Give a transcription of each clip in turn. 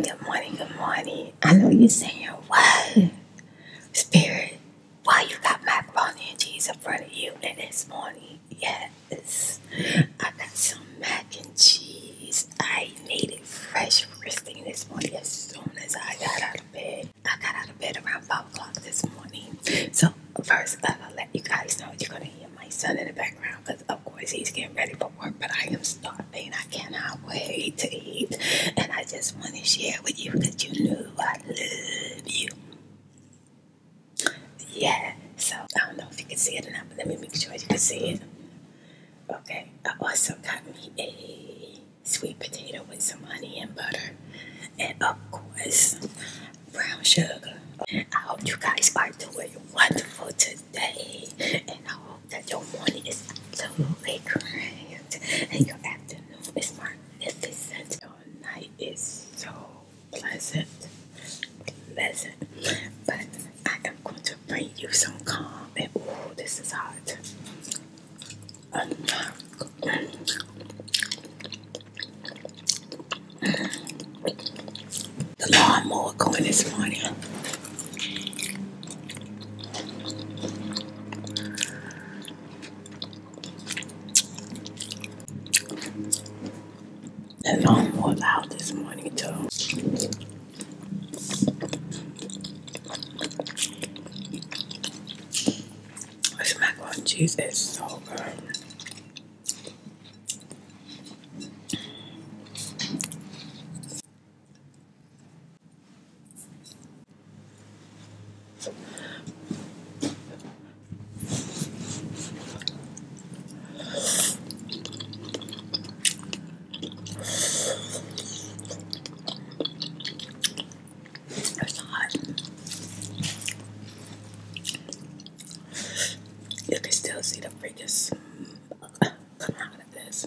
Good morning, good morning. I know you're saying, what? Spirit, why well, you got macaroni and cheese in front of you and this morning? Yes, I got some mac and cheese. I made it fresh first this morning as soon as I got out of bed. I got out of bed around 5 o'clock this morning. So, first, I'll let you guys know you're going to hear my son in the background because, of course, he's getting ready for work, but I am starving. I cannot wait to eat. And I just want to share with you because you know I love you. Yeah, so I don't know if you can see it or not, but let me make sure you can see it. Okay, I also got me a sweet potato with some honey and butter, and of course, brown sugar. I hope you guys are doing wonderful today, and I hope that your morning is absolutely great and your afternoon is magnificent. Your night is so pleasant, pleasant. But I am going to bring you some calm, and oh, this is hot. the lawnmower going this morning. The loan was out this morning too. This macaroni and cheese is so good. It's hot. You can still see the freaking come out of this.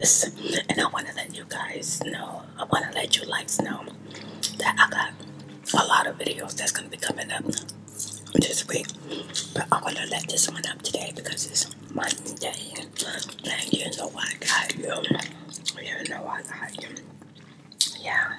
is. And I want to let you guys know, I want to let you likes know that I got a lot of videos that's going to be coming up this week. But I want to let this one up today because it's Monday. And you know I got you. You know I got you. Yeah.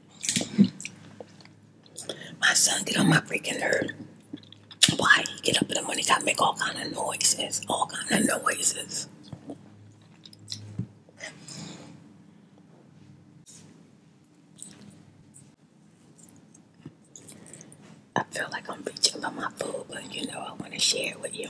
My son get on my freaking nerve. Why he get up in the morning, gotta make all kind of noises, all kind of noises. I feel like I'm reaching for my food, but you know I want to share it with you.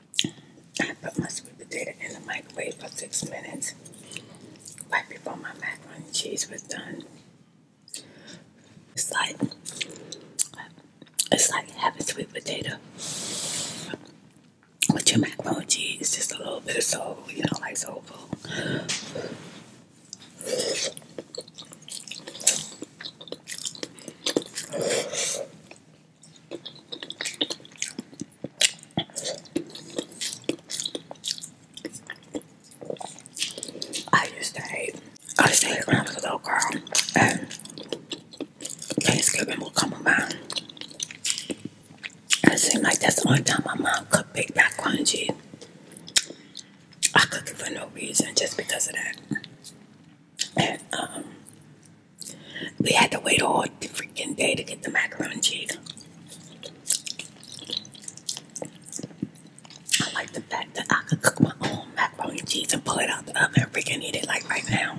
I put my sweet potato in the microwave for six minutes right before my macaroni and cheese was done. It's like it's like having sweet potato with your macaroni and cheese, It's just a little bit of soul, you know, like soul food. I used to hate. I used to hate when I was a little girl, and Thanksgiving would come around. And it seemed like that's the only time my mom could bake that crunchy. I cook it for no reason, just because of that. Um, we had to wait all freaking day to get the macaroni and cheese. I like the fact that I could cook my own macaroni and cheese and pull it out the oven and freaking eat it like right now.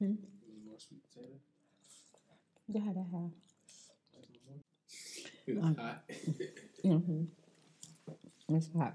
Hmm? Yeah, that It's hot. mm-hmm. It's hot.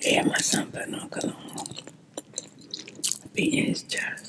Yeah, my son putting on cologne. Beating his chest.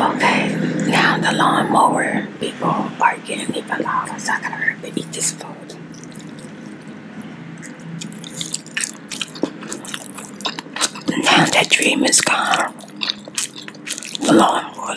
Okay, now the lawnmower people are getting even louder. so I gotta hurry to eat this food. Now that dream is gone, the lawnmower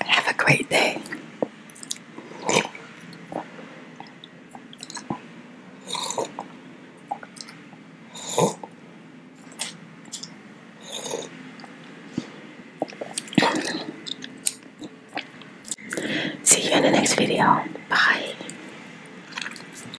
Have a great day. See you in the next video. Bye.